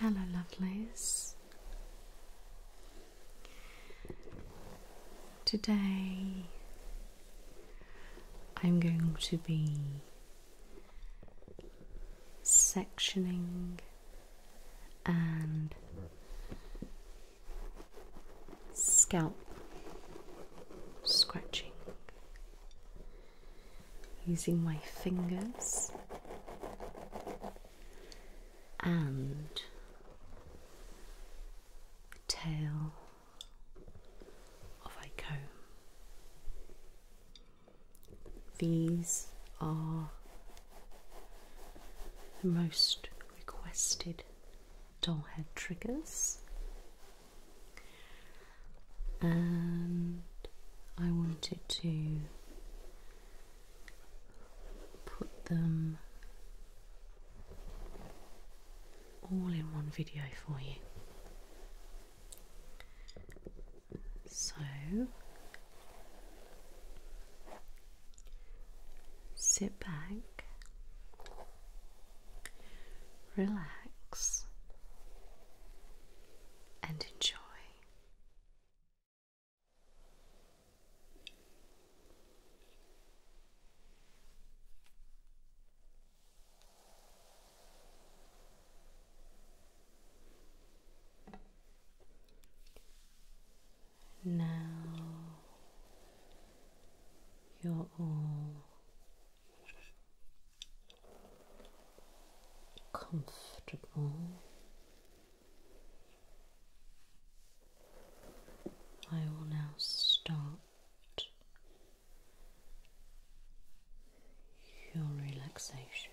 Hello, lovelies. Today I'm going to be sectioning and scalp scratching using my fingers and the tail of a comb. These are the most requested doll head triggers, and I wanted to put them all in one video for you. So sit back, relax, and enjoy. Now you're all comfortable. I will now start your relaxation.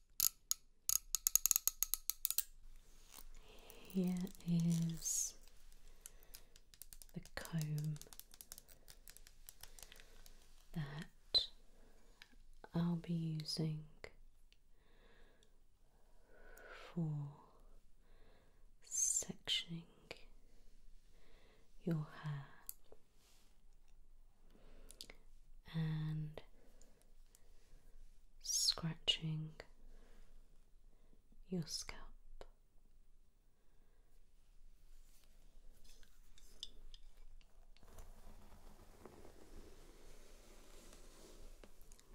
Here is the comb that I'll be using for sectioning your hair and scratching your scalp.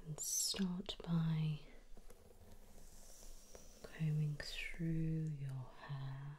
And start by combing through your hair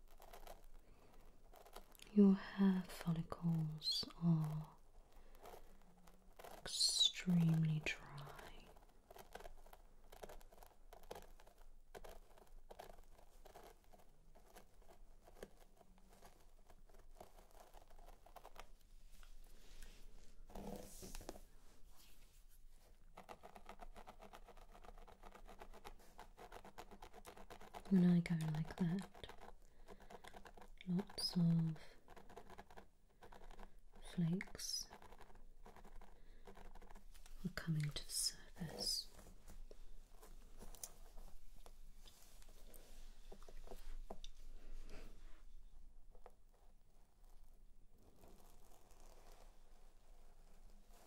Your hair follicles are extremely dry. When I go like that, lots of flakes are coming to the surface.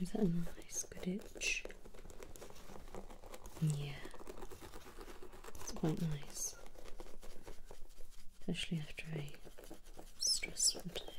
Is that nice? Good itch. Yeah, it's quite nice, especially after a stress relief. Okay.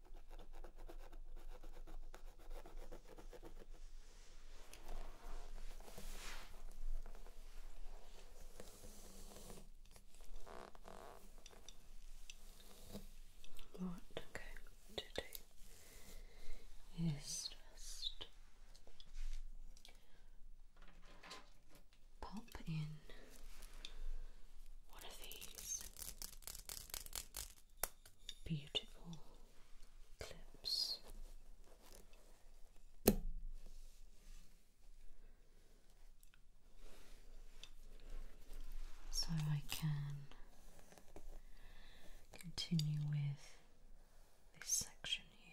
What i to do is just pop in one of these beautiful clips. So I can continue with this section here.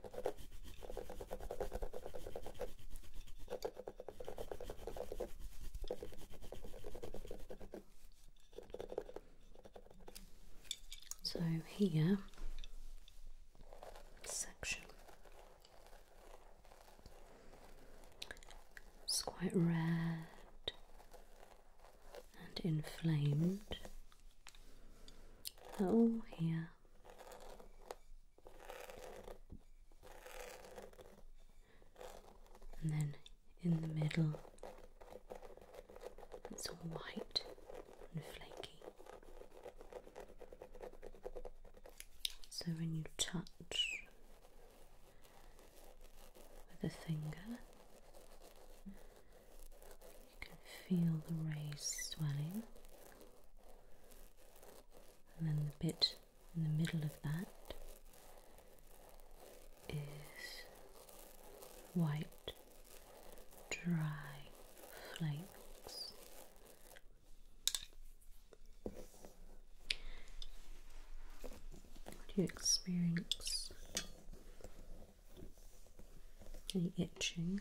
So here section it's quite red and inflamed. Oh, here and then in the middle, it's all white and flaky. So when you touch with a finger, you can feel the rays swelling and then the bit in the middle of that is white, dry flakes. Do you experience any itching?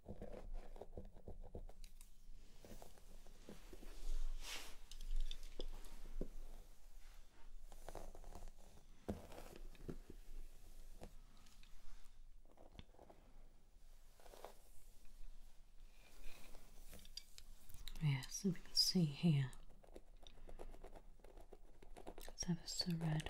Yes, and we can see here. It's ever so red.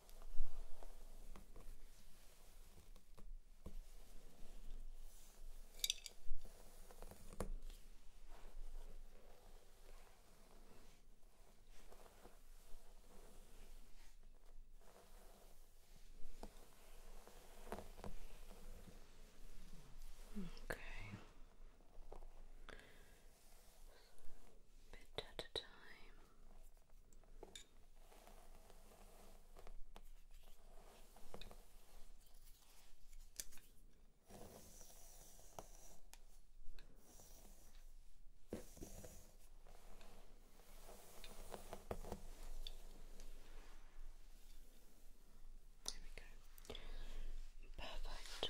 Okay. Bit at a time. There we go. Perfect.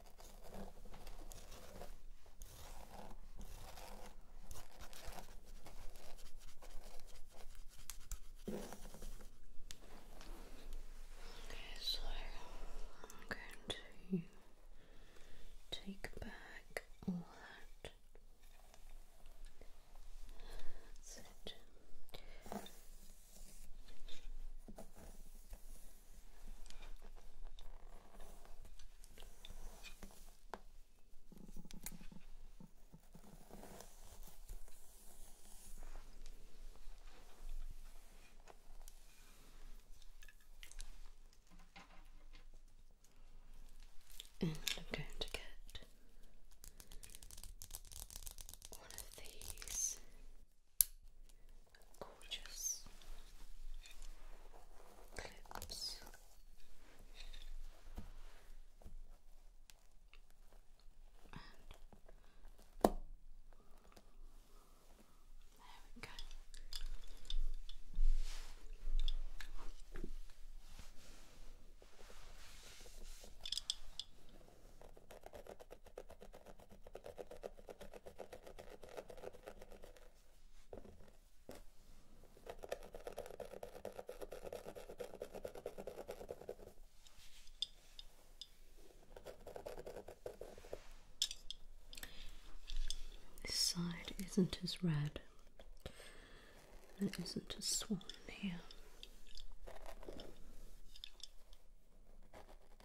Okay, so I'm going to take back all that. That's and mm, I'm going to get one of these Gorgeous clips. And there we go. This side isn't as red, There isn't a swan here.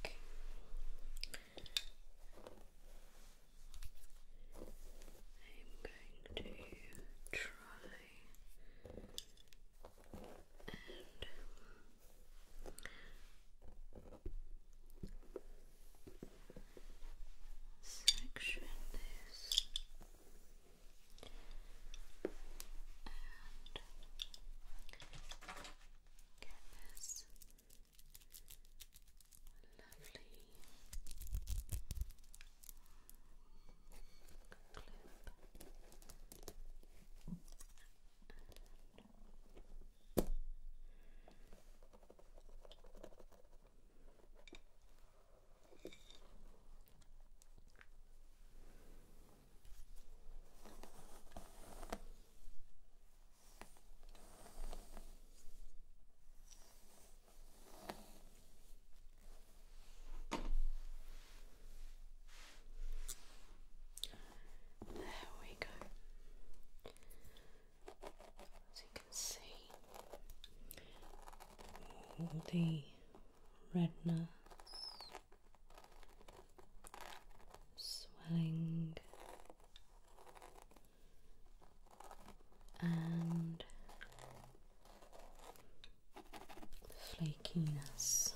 Okay. I'm going to try and section this get this lovely clip there we go. As you can see, the retina swelling and flakiness.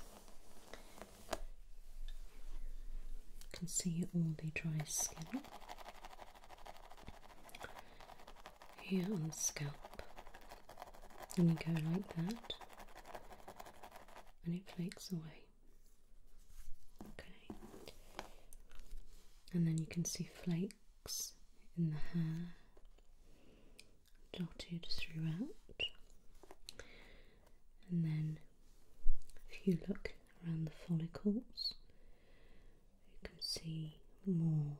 You can see all the dry skin here on the scalp. And you go like that and it flakes away. Okay, and then you can see flakes in the hair dotted throughout, and then if you look around the follicles, you can see more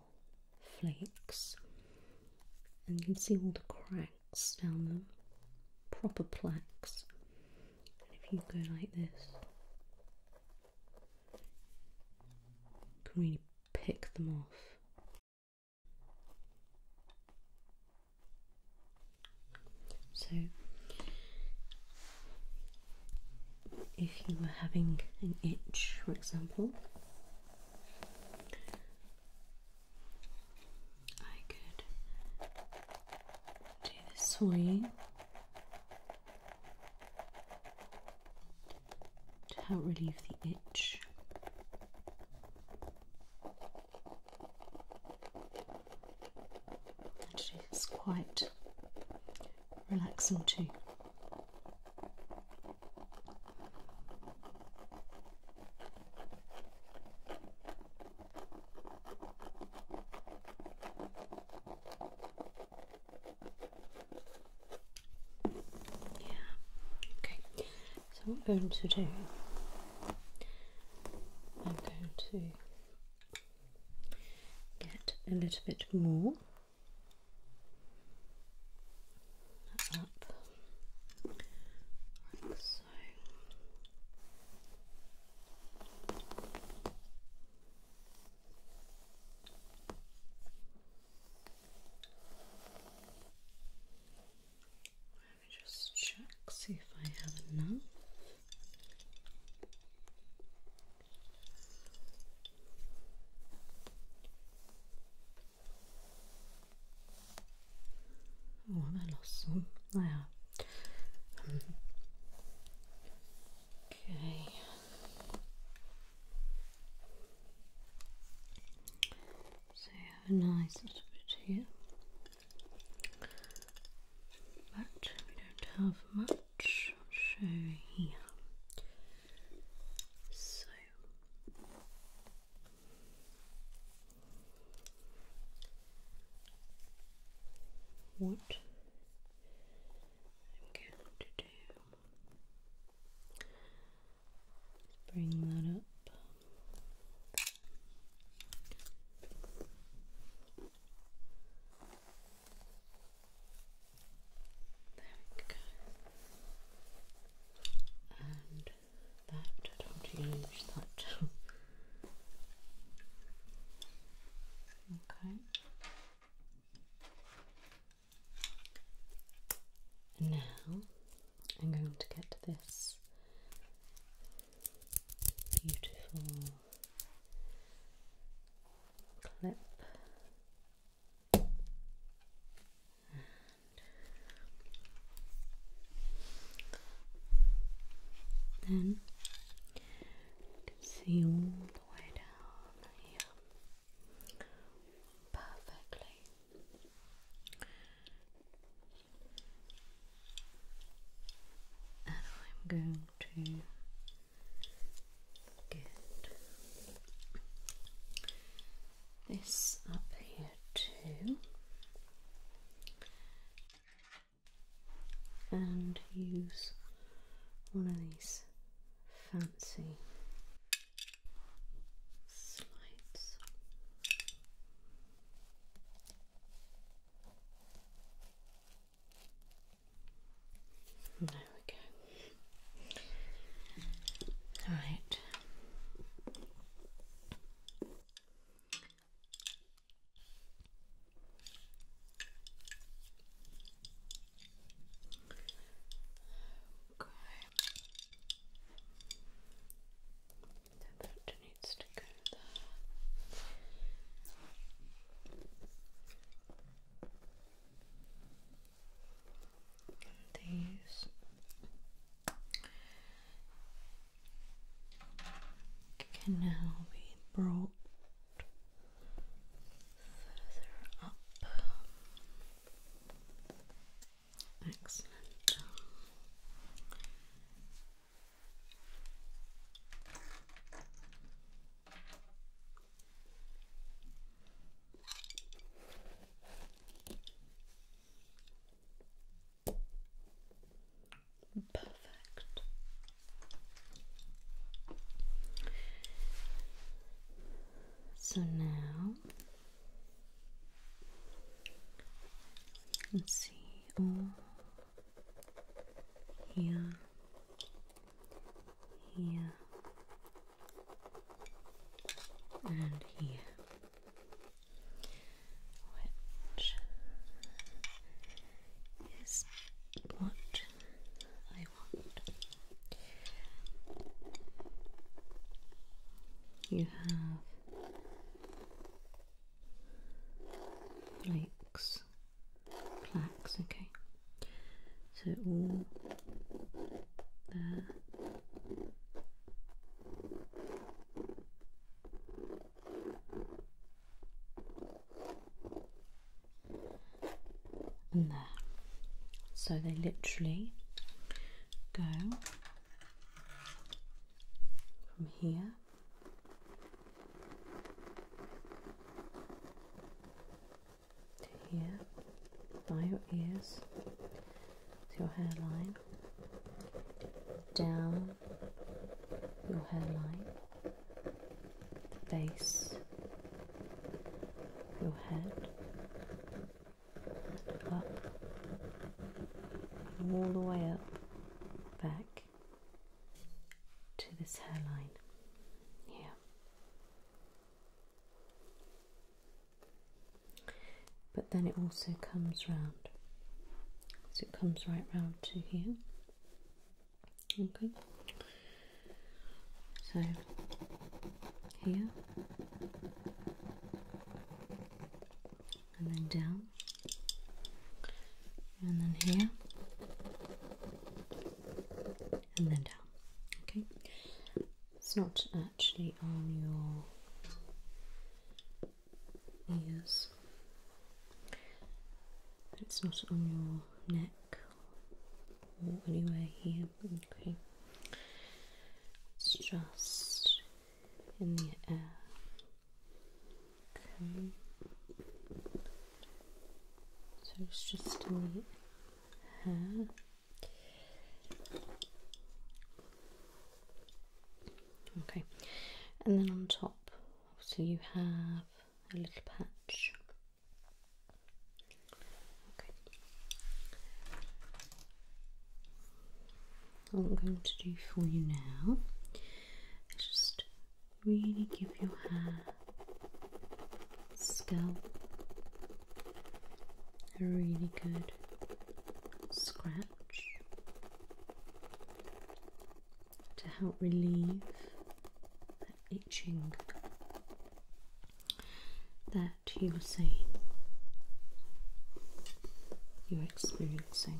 flakes, and you can see all the cracks down them, proper plaques. And if you go like this, you can really pick them off. So, if you were having an itch, for example, I could do the swing to help relieve the itch. and it's quite relaxing too. Okay, so I'm going to do, I'm going to get a little bit more so. Let me just check, see if I have enough. One lossum. There. Um, okay. So you have a nice little bit here. But we don't have much. i here. So what I'm going to do bring that up. There we go that, don't use that. okay. now I'm going to get this beautiful clip. Then you can see all the way down here perfectly. And I'm going to get this up here too, and use one of these fancy slides. There we go. All right out. Okay. That needs to go there these can now be brought further up. Excellent. Perfect. So now let's see all here, here, and here, which is what I want. You have flakes, plaques, okay. So all there. And there. So they literally go from here to here by your ears your hairline, down your hairline, the base your head, up, all the way up, back to this hairline here but then it also comes round. So it comes right round to here. Okay. So here and then down and then here and then down. Okay. It's not uh, actually on your ears. It's not on your neck or anywhere here. it's just in the air. Okay, so it's just in the hair. Okay, and then on top, so you have a little patch. Okay, what I'm going to do for you now is just really give your hair, scalp, a really good scratch to help relieve that itching that you were saying you're experiencing.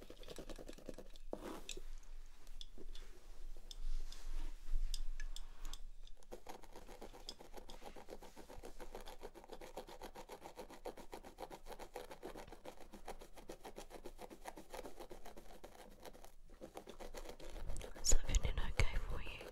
Is that okay for you?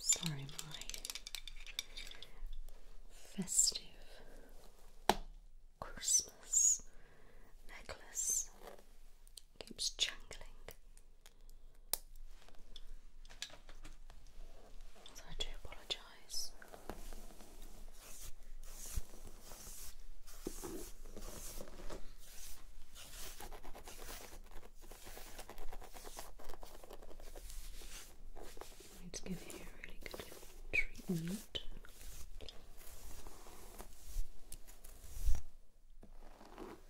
Sorry, my festive Christmas necklace keeps jangling. So I do apologise. Let's give you a really good treatment.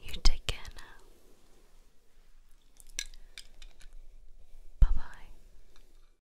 You take care now. Bye bye.